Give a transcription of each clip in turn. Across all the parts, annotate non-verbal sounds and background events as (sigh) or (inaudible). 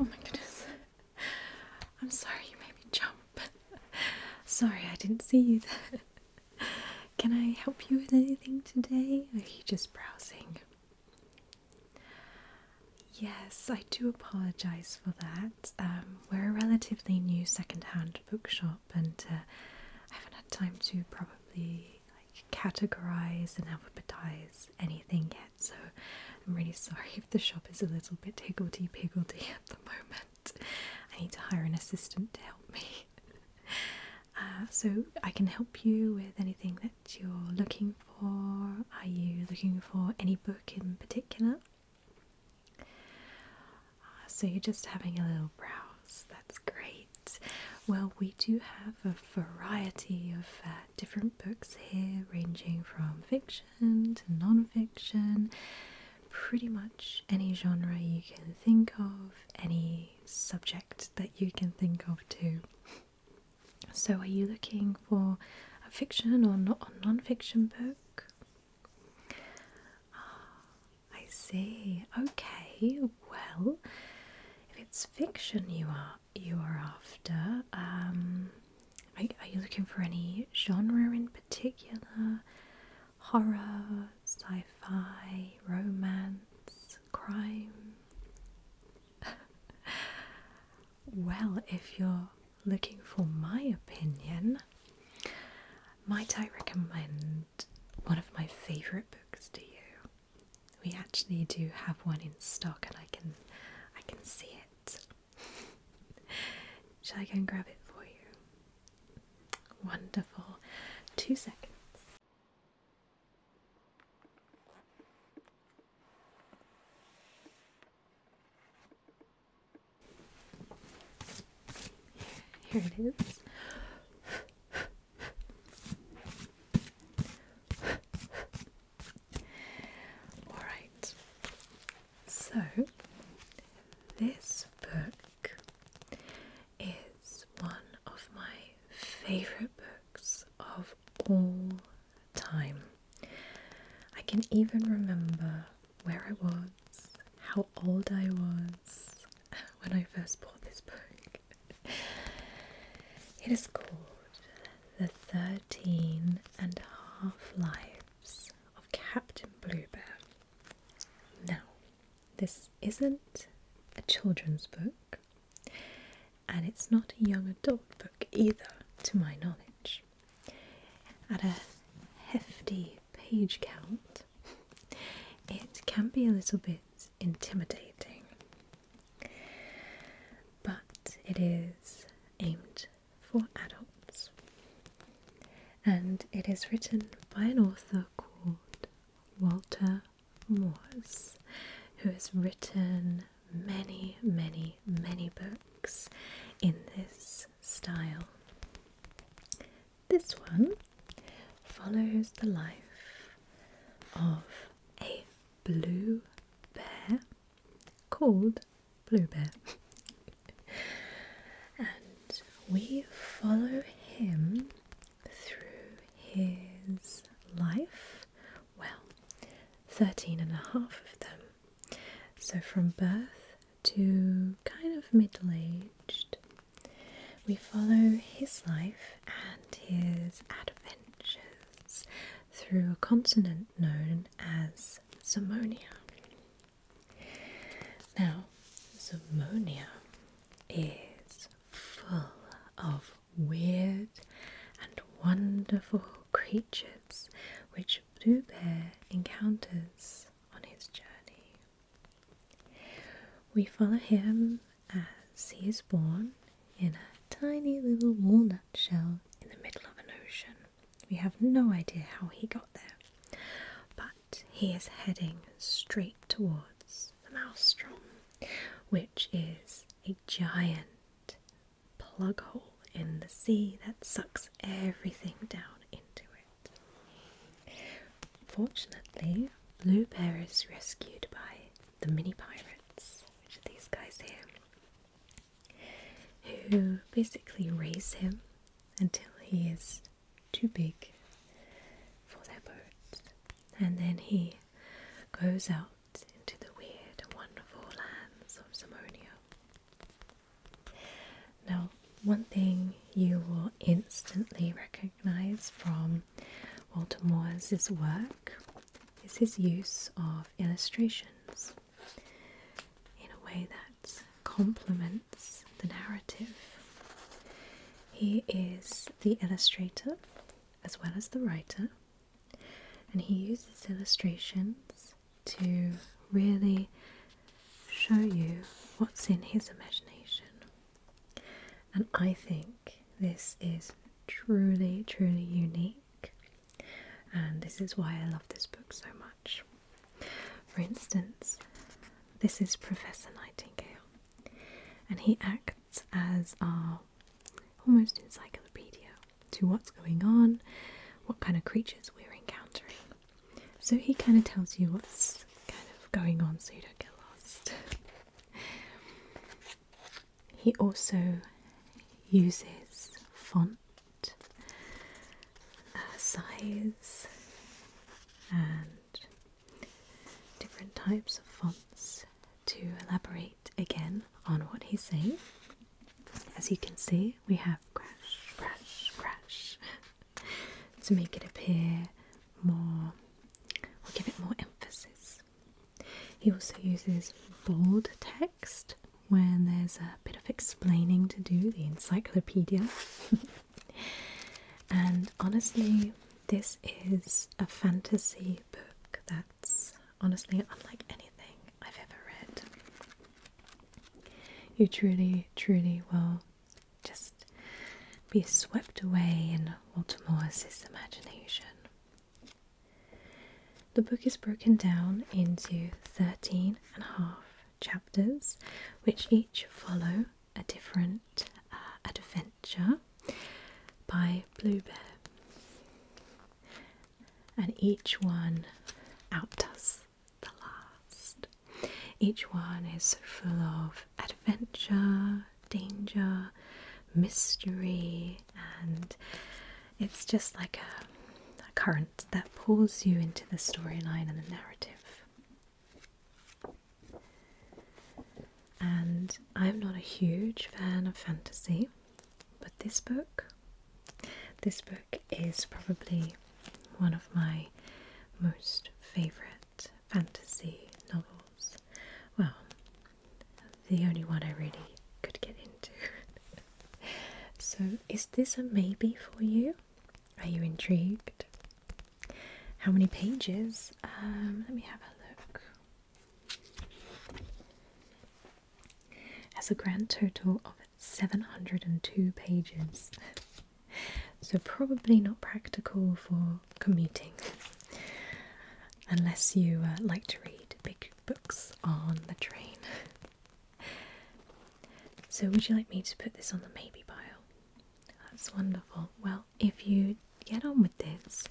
Oh my goodness. I'm sorry you made me jump. sorry, I didn't see you there. Can I help you with anything today? are you just browsing? Yes, I do apologise for that. Um, we're a relatively new second hand bookshop up, and uh, I haven't had time to probably categorize and alphabetize anything yet. So I'm really sorry if the shop is a little bit higgledy piggledy (laughs) at the moment. I need to hire an assistant to help me. (laughs) Uh, so I can help you with anything that you're looking for. Are you looking for any book in particular? Uh, so you're just having a little browse. That's great. Well, we do have a variety of uh, different books here, ranging from fiction to non-fiction. Pretty much any genre you can think of, any subject that you can think of too. So, are you looking for a fiction or not a non-fiction book? I see. Okay, well, if it's fiction you are you are after, um, are you looking for any genre in particular? Horror, sci-fi, romance, crime. (laughs) well, if you're looking for my opinion, might I recommend one of my favourite books to you? We actually do have one in stock, and I can, I can see it. (laughs) Shall I go and grab it for you? Wonderful. Two seconds. Here it is. All right. So this book is one of my favorite books of all time. I can even remember where I was, how old I was (laughs) when I first bought this book. it is called The Thirteen and Half Lives of Captain Bluebear. Now, this isn't a children's book, and it's not a young adult book either, to my knowledge. At a hefty page count, it can be a little bit intimidating. But it is aimed for adults and it is written by an author called Walter Moores, who has written many, many, many books in this style. This one follows the life of a blue bear called Blue Bear. and we follow him through his life. Well, 13 and a half of them. So from birth to kind of middle aged. We follow his life and his adventures through a continent known as Zamonia. Now, Zamonia is full of weird and wonderful creatures which Blue Bear encounters on his journey. We follow him as he is born in a tiny little walnut shell in the middle of an ocean. We have no idea how he got there, but he is heading straight towards the maelstrom, which is a giant plug hole in the sea that sucks everything down into it. Fortunately, Blue Bear is rescued by the mini pirates, which are these guys here, who basically raise him until he is too big for their boat, and then he goes out into the weird, wonderful lands of Simonia. Now, one thing you will instantly recognize from Walter Moore's work is his use of illustrations in a way that complements the narrative. He is the illustrator as well as the writer, and he uses illustrations to really show you what's in his imagination. And I think this is truly, truly unique, and this is why I love this book so much. For instance, this is Professor Nightingale, and he acts as our almost encyclopedia to what's going on, what kind of creatures we're encountering. So he kind of tells you what's kind of going on so you don't get lost. he also uses font, uh, size, and different types of fonts to elaborate again on what he's saying. As you can see, we have crash, crash, crash to make it appear more or give it more emphasis. He also uses bold text when there's a bit of explaining to do, the encyclopedia. (laughs) and honestly, this is a fantasy book that's honestly unlike anything I've ever read. You truly, truly will just be swept away in Walter Morris's imagination. The book is broken down into 13 and a half chapters, which each follow a different uh, adventure by Blue And each one outdoes the last. Each one is full of adventure, danger, mystery, and it's just like a, a current that pulls you into the storyline and the narrative. And I'm not a huge fan of fantasy, but this book, this book is probably one of my most favorite fantasy novels. Well, the only one I really could get into. (laughs) so, is this a maybe for you? Are you intrigued? How many pages? Um, let me have a look. Has a grand total of 702 pages. (laughs) so probably not practical for commuting unless you uh, like to read big books on the train. so, would you like me to put this on the maybe pile? That's wonderful. Well, if you get on with this,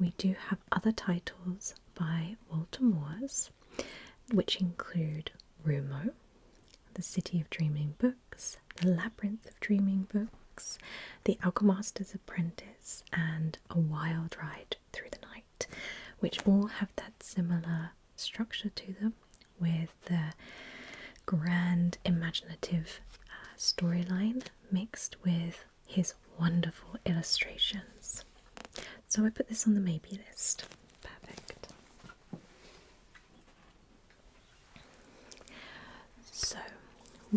we do have other titles by Walter Moores, which include Rumo, The City of Dreaming Books*. The Labyrinth of Dreaming books, The Alchemist's Apprentice, and A Wild Ride Through the Night, which all have that similar structure to them with the grand imaginative uh, storyline mixed with his wonderful illustrations. So I put this on the maybe list. Perfect. So,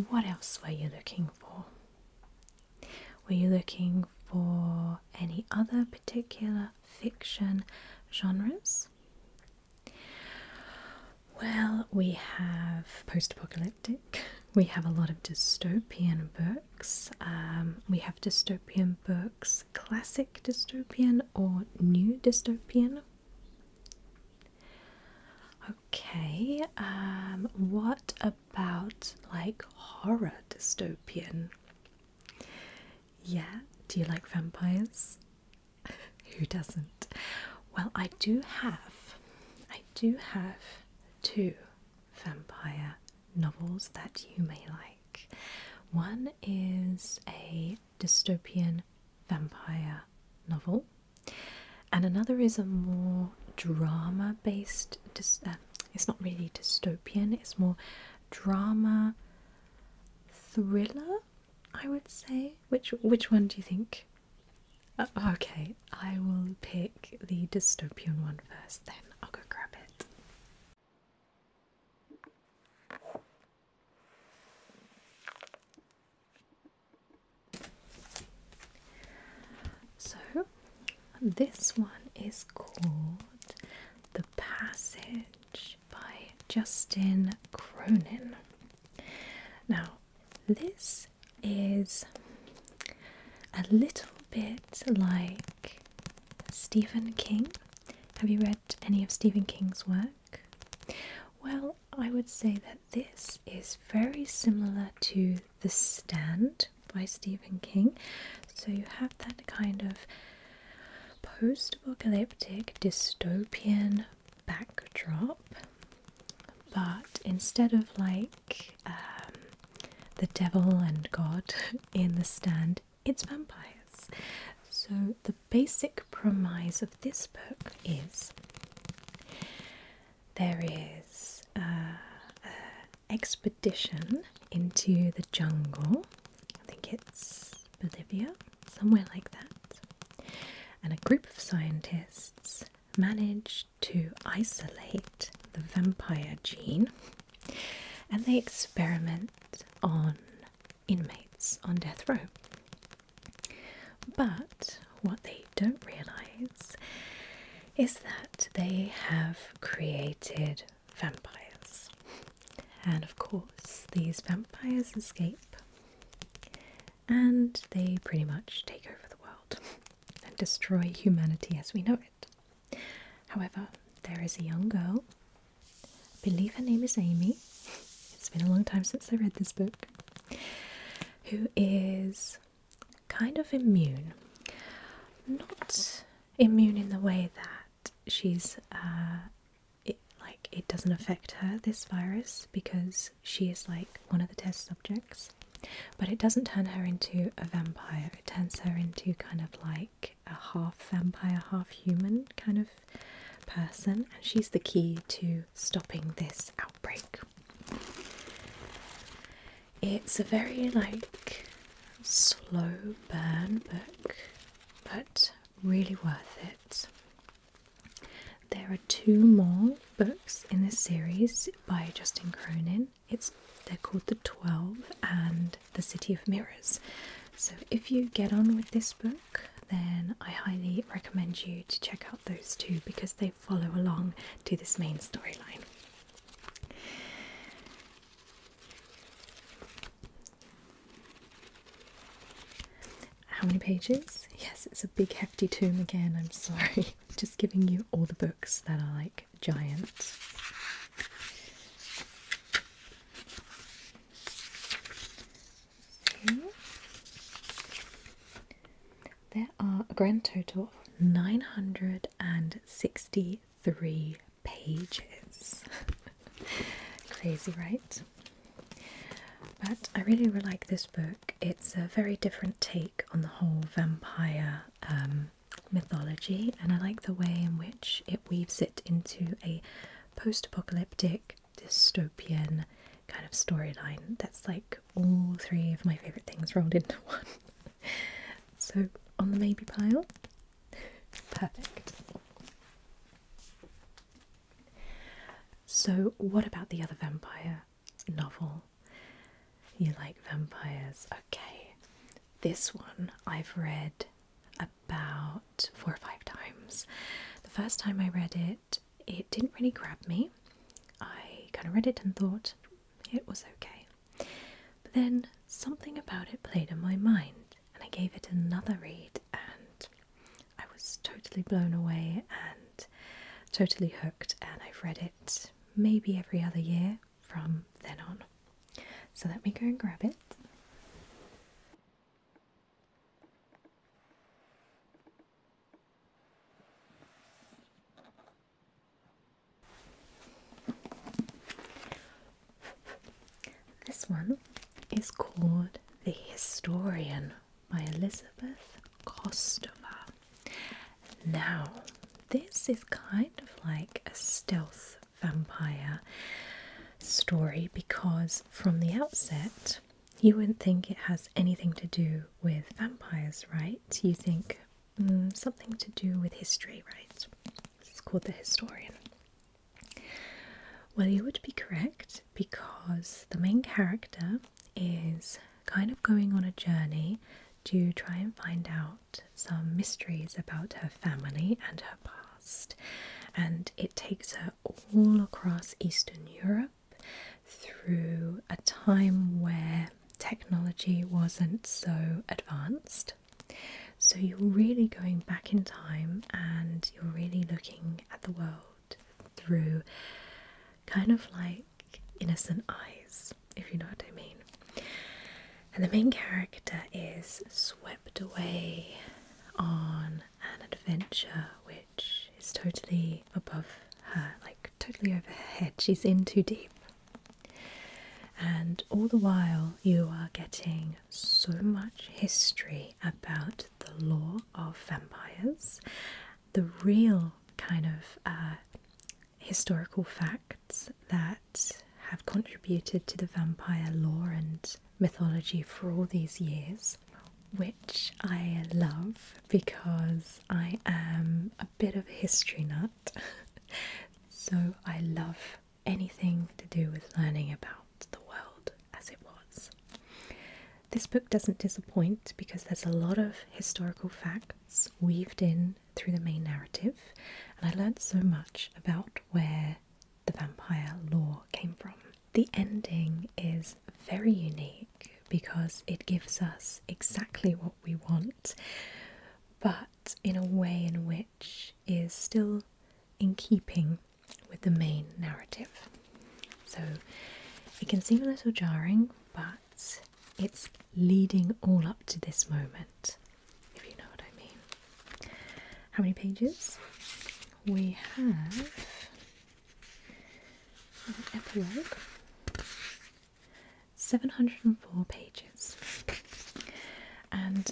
what else were you looking for? Were you looking for any other particular fiction genres? Well, we have post apocalyptic, we have a lot of dystopian books, um, we have dystopian books, classic dystopian or new dystopian. Okay, um, what about like horror dystopian? Yeah, do you like vampires? (laughs) Who doesn't? Well, I do have, I do have two vampire novels that you may like. One is a dystopian vampire novel, and another is a more drama based. Uh, it's not really dystopian, it's more drama thriller, I would say. Which, which one do you think? Uh, okay, I will pick the dystopian one first, then I'll go grab it. So, this one is called The Passage by Justin Cronin. Now, this is a little bit like Stephen King. Have you read any of Stephen King's work? Well, I would say that this is very similar to The Stand by Stephen King. So you have that kind of post apocalyptic dystopian backdrop, but instead of like um, the devil and God (laughs) in The Stand, it's vampires. So the the basic premise of this book is there is uh, an expedition into the jungle. I think it's Bolivia, somewhere like that. And a group of scientists manage to isolate the vampire gene and they experiment on inmates on death row. But what they don't realise is that they have created vampires. And of course, these vampires escape and they pretty much take over the world (laughs) and destroy humanity as we know it. However, there is a young girl I believe her name is Amy. It's been a long time since I read this book. Who is kind of immune. Not immune in the way that she's, uh, like, it doesn't affect her, this virus, because she is like one of the test subjects. But it doesn't turn her into a vampire, it turns her into kind of like a half vampire, half human kind of person, and she's the key to stopping this outbreak. It's a very like slow burn book, but really worth it. There are two more books in this series by Justin Cronin. It's they're called The Twelve and The City of Mirrors. So, if you get on with this book, then I highly recommend you to check out those two because they follow along to this main storyline. How many pages? Yes, it's a big hefty tome again. I'm sorry. (laughs) Just giving you all the books that are like giant. There are a grand total of 963 pages. (laughs) Crazy, right? But I really, really like this book. It's a very different take on the whole vampire um, mythology, and I like the way in which it weaves it into a post apocalyptic dystopian kind of storyline that's like all three of my favourite things rolled into (laughs) one. so, on the baby pile, perfect. So, what about the other vampire novel? You like vampires? Okay. This one I've read about four or five times. The first time I read it, it didn't really grab me. I kind of read it and thought it was okay. But then something about it played in my mind, and I gave it another read, and I was totally blown away and totally hooked. And I've read it maybe every other year from then on. So let me go and grab it. This one is called The Historian by Elizabeth Kostova. Now, this is kind of like a stealth vampire story because from the outset, you wouldn't think it has anything to do with vampires, right? You think mm, something to do with history, right? It's called The Historian. Well, you would be correct because the main character is kind of going on a journey to try and find out some mysteries about her family and her past and it takes her all across Eastern Europe through a time where technology wasn't so advanced. So you're really going back in time and you're really looking at the world through kind of like innocent eyes, if you know what I mean. And the main character is swept away on an adventure which is totally above her, like totally over head. She's in too deep. And all the while, you are getting so much history about the law of vampires, the real kind of uh, historical facts that have contributed to the vampire lore and mythology for all these years, which I love because I am a bit of a history nut. (laughs) so I love anything to do with learning about the world as it was. This book doesn't disappoint because there's a lot of historical facts weaved in through the main narrative, and I learned so much about where the vampire lore came from. The ending is very unique because it gives us exactly what we want, but in a way in which is still in keeping with the main narrative. So it can seem a little jarring, but it's leading all up to this moment, if you know what I mean. How many pages? We have epilogue, 704 pages. And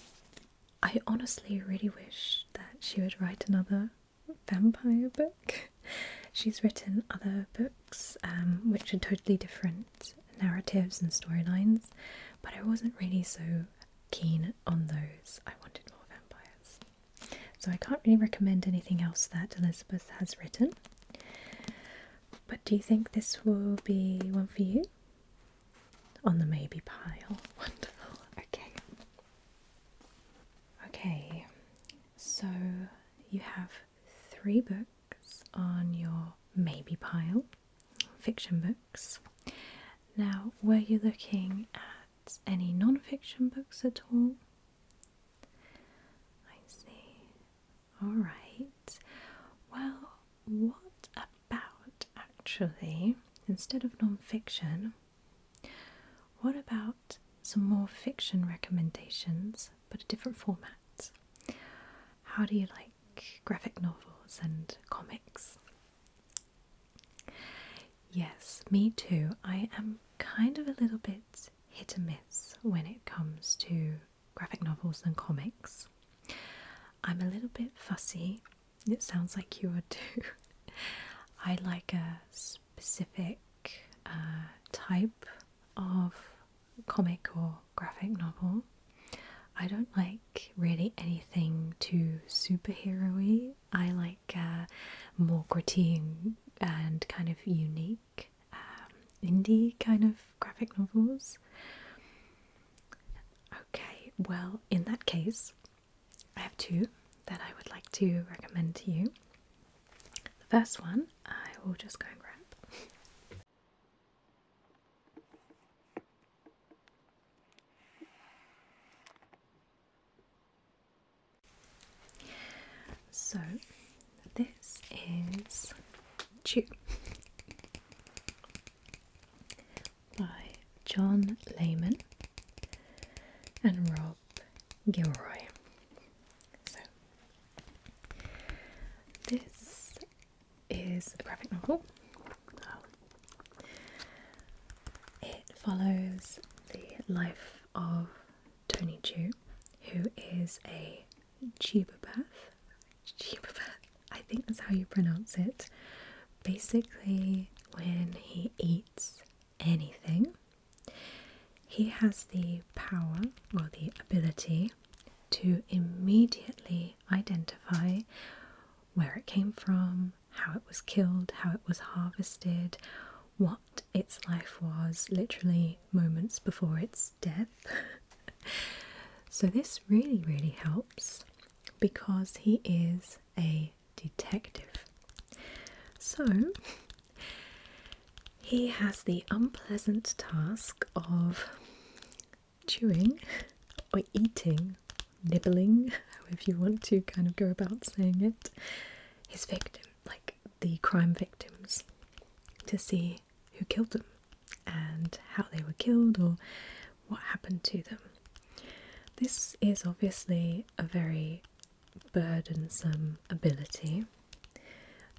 I honestly really wish that she would write another vampire book. She's written other books um, which are totally different narratives and storylines, but I wasn't really so keen on those. I wanted more vampires. So I can't really recommend anything else that Elizabeth has written. But do you think this will be one for you? On the maybe pile. (laughs) Wonderful. Okay. Okay, so you have three books on your maybe pile, fiction books. Now, were you looking at? at any non fiction books at all? I see. Alright. Well, what about actually, instead of non fiction, what about some more fiction recommendations but a different format? How do you like graphic novels and comics? Yes, me too. I am kind of a little bit hit or miss when it comes to graphic novels and comics. I'm a little bit fussy. It sounds like you are too. (laughs) I like a specific uh, type of comic or graphic novel. I don't like really anything too superhero I like uh, more gritty and kind of unique um, indie kind of graphic novels. Okay, well, in that case, I have two that I would like to recommend to you. The first one I will just go and grab. So this is Chew by John Layman and Rob Gilroy. So this is a graphic novel. It follows the life of Tony Chu, who is a Chibopath. Chibopath, I think that's how you pronounce it. Basically, when he eats anything, he has the power or the ability to immediately identify where it came from, how it was killed, how it was harvested, what its life was literally moments before its death. (laughs) so, this really, really helps because he is a detective. So, he has the unpleasant task of chewing or eating nibbling, (laughs) if you want to kind of go about saying it, his victim, like the crime victims, to see who killed them and how they were killed or what happened to them. This is obviously a very burdensome ability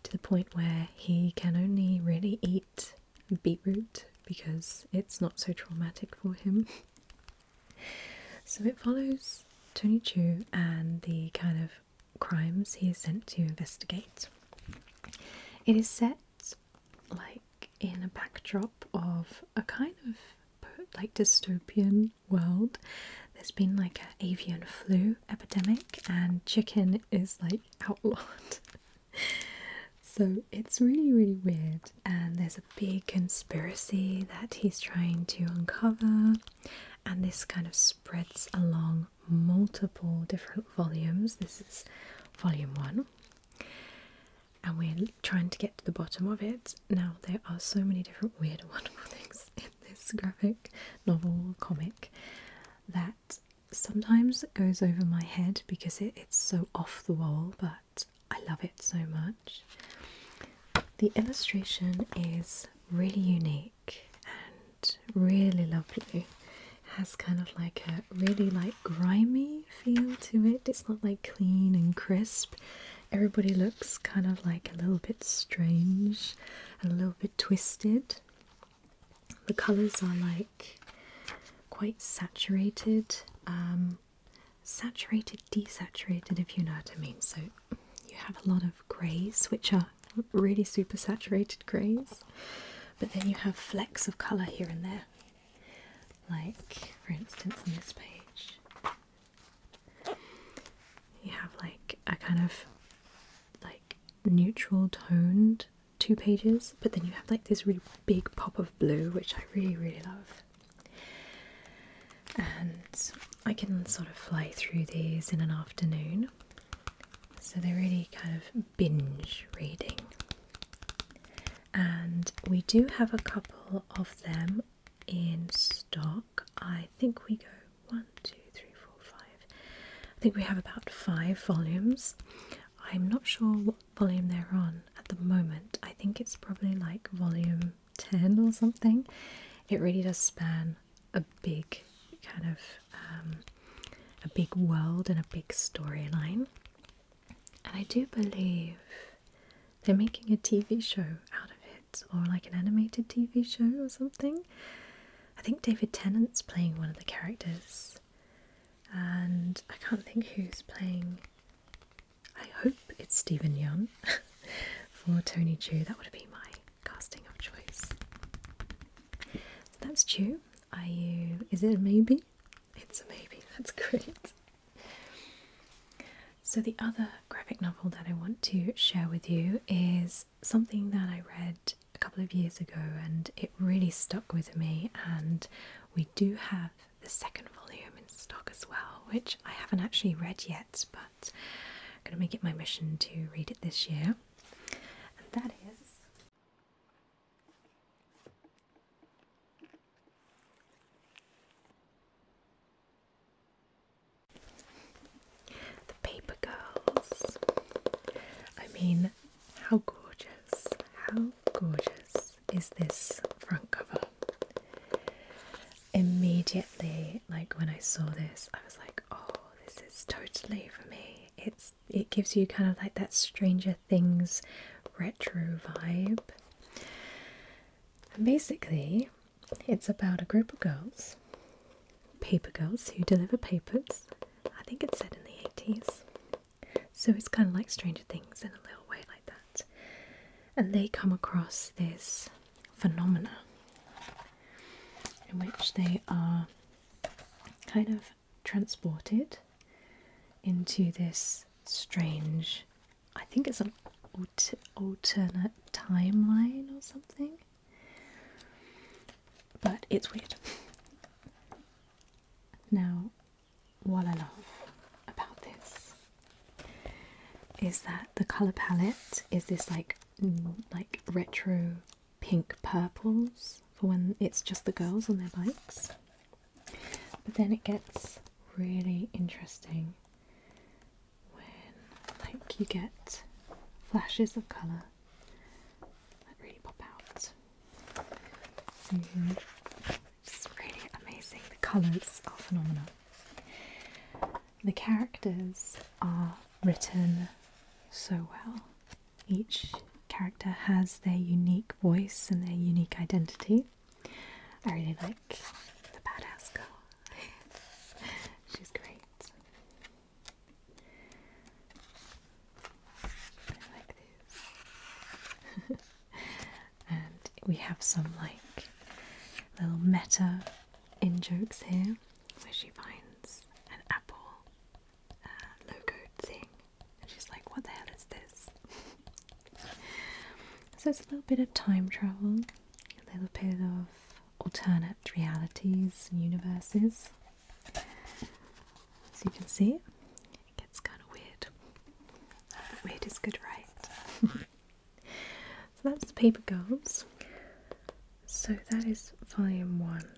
to the point where he can only really eat beetroot because it's not so traumatic for him. (laughs) So it follows Tony Chu and the kind of crimes he is sent to investigate. It is set like in a backdrop of a kind of like dystopian world. There's been like an avian flu epidemic, and chicken is like outlawed. (laughs) so it's really, really weird and there's a big conspiracy that he's trying to uncover, and this kind of spreads along multiple different volumes. This is volume one, and we're trying to get to the bottom of it. Now, there are so many different weird (laughs) wonderful things in this graphic novel comic that sometimes goes over my head because it's so off the wall, but I love it so much. The illustration is really unique and really lovely. Has kind of like a really like grimy feel to it. It's not like clean and crisp. Everybody looks kind of like a little bit strange and a little bit twisted. The colours are like quite saturated. Um, saturated, desaturated, if you know what I mean. So you have a lot of greys, which are really super saturated greys, but then you have flecks of colour here and there. Like, for instance, on this page, you have like a kind of like neutral toned two pages, but then you have like this really big pop of blue, which I really, really love and I can sort of fly through these in an afternoon. So they're really kind of binge reading. And we do have a couple of them in stock. I think we go one, two, three, four, five. I think we have about five volumes. I'm not sure what volume they're on at the moment. I think it's probably like volume 10 or something. It really does span a big kind of um, a big world and a big storyline. And I do believe they're making a TV show out of it, or like an animated TV show or something. I think David Tennant's playing one of the characters, and I can't think who's playing I hope it's Stephen Young (laughs) for Tony Chu. That would be my casting of choice. So that's Chu. Are you? Is it a maybe? It's a maybe. (laughs) That's great. So the other graphic novel that I want to share with you is something that I read a couple of years ago, and it really stuck with me. And we do have the second volume in stock as well, which I haven't actually read yet, but I'm going to make it my mission to read it this year. that is. The Paper Girls. I mean, how gorgeous, how gorgeous is this front cover? immediately like when I saw this I was like oh this is totally for me it's it gives you kind of like that Stranger Things retro vibe basically it's about a group of girls paper girls who deliver papers I think it's set in the 80s so it's kind of like Stranger Things in a little way like that and they come across this phenomena in which they are kind of transported into this strange, I think it's an alternate timeline or something, but it's weird. (laughs) Now, what I love about this is that the color palette is this like like retro pink purples for when it's just the girls on their bikes. But then it gets really interesting when like you get flashes of color that really pop out. Mm -hmm. really amazing. The colours are phenomenal. The characters are written so well. Each character has their unique voice and their unique identity. I really like the badass girl. (laughs) She's great. I like these. (laughs) and we have some like little meta in jokes here where she finds an apple uh, logo thing and she's like what the hell is this (laughs) so it's a little bit of time travel a little bit of alternate realities and universes as you can see it gets kind of weird weird is good right (laughs) So that's the paper girls. So that is volume one,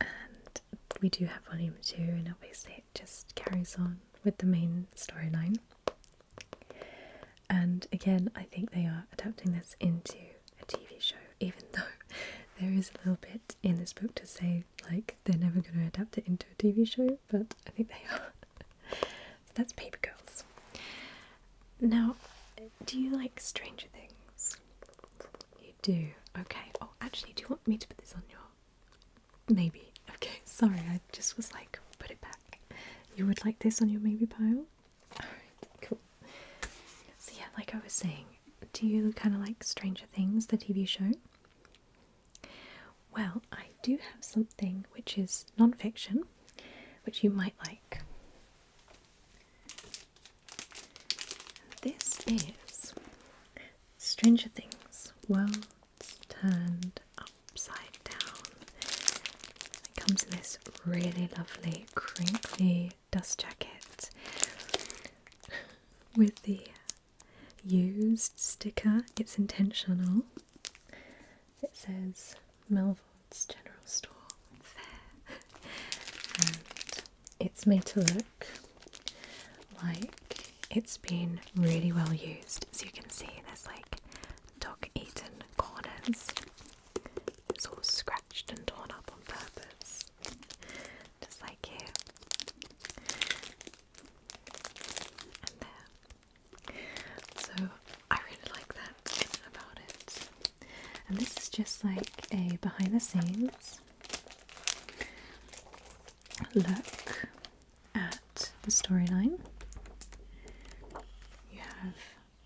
and we do have volume two, and obviously it just carries on with the main storyline. And again, I think they are adapting this into a TV show, even though (laughs) there is a little bit in this book to say like they're never going to adapt it into a TV show, but I think they are that's Paper Girls. Now, do you like Stranger Things? You do. Okay. Oh, actually, do you want me to put this on your maybe? Okay. (laughs) Sorry, I just was like, put it back. You would like this on your maybe pile? cool. So, yeah, like I was saying, do you kind of like Stranger Things, the TV show? Well, I do have something which is non fiction, which you might like. This is Stranger Things Worlds Turned Upside Down. It comes in this really lovely, crinkly dust jacket with the used sticker. It's intentional. It says Melville's General Store and it's made to look like it's been really well used. As you can see, there's like dog-eaten corners. It's all scratched and torn up on purpose, just like here and there. So I really like that and about it. And this is just like a behind the scenes look at the storyline. You have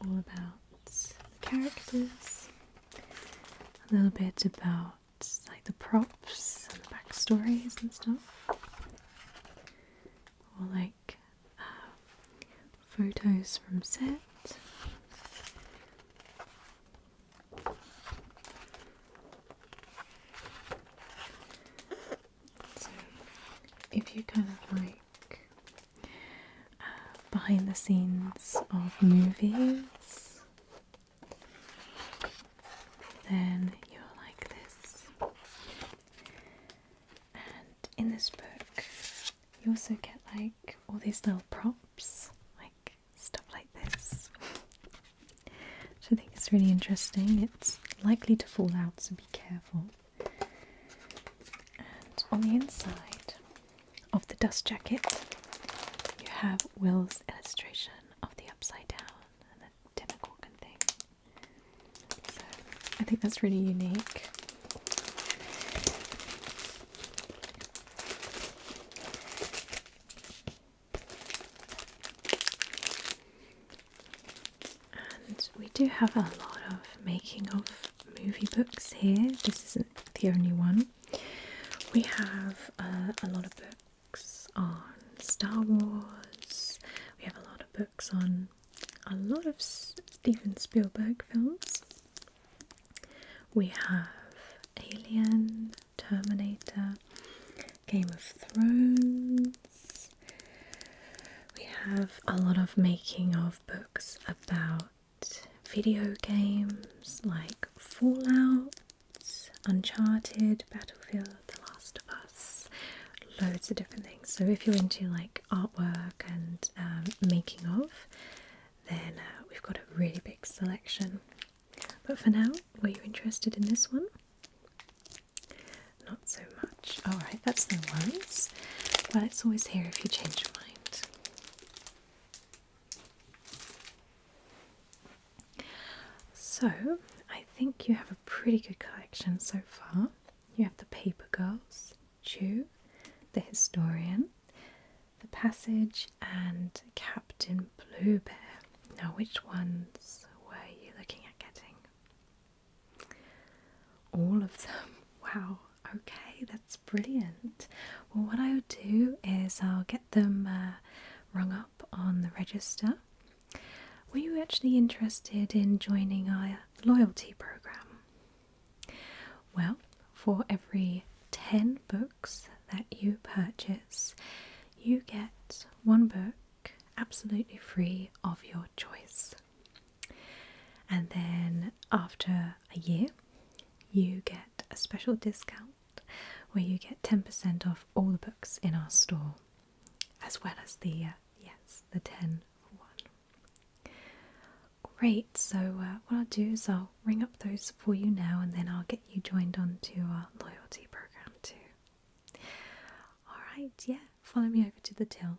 all about the characters, a little bit about like the props and the backstories and stuff. All uh, photos from set. So, if you kind of like uh, behind the scenes of movies, then you're like this. And in this book, you also get like all these little props, like stuff like this. (laughs) Which I think is really interesting. It's likely to fall out, so be careful. And on the inside of the dust jacket, you have Will's illustration of the upside down the thing. I think that's really unique. And we do have a lot of making of movie books here. This isn't the only one. We have uh, a lot of books on Star Wars, we have a lot of books on a lot of Steven Spielberg films. We have Alien, Terminator, Game of Thrones. We have a lot of making of books about video games like Fallout, Uncharted, Battlefield, the Last of Us, loads of different things. So if you're into like artwork and um, making of, then uh, we've got a really big selection. But for now, were you interested in this one? Not so much. Alright, that's the ones. But it's always here if you change your mind. So, I think you have a pretty good collection so far. You have the paper girls, Chew, the historian, the passage, and Captain Blue Bear. Now, which ones were you looking at getting? All of them. (laughs) Wow. Okay, that's brilliant. Well, what I will do is I'll get them uh, rung up on the register were you actually interested in joining our loyalty program? Well, for every 10 books that you purchase, you get one book absolutely free of your choice. And then after a year, you get a special discount where you get 10% off all the books in our store as well as the uh, yes, the ten for one. Great. So uh, what I'll do is I'll ring up those for you now, and then I'll get you joined on to our loyalty program too. All right. Yeah. Follow me over to the till.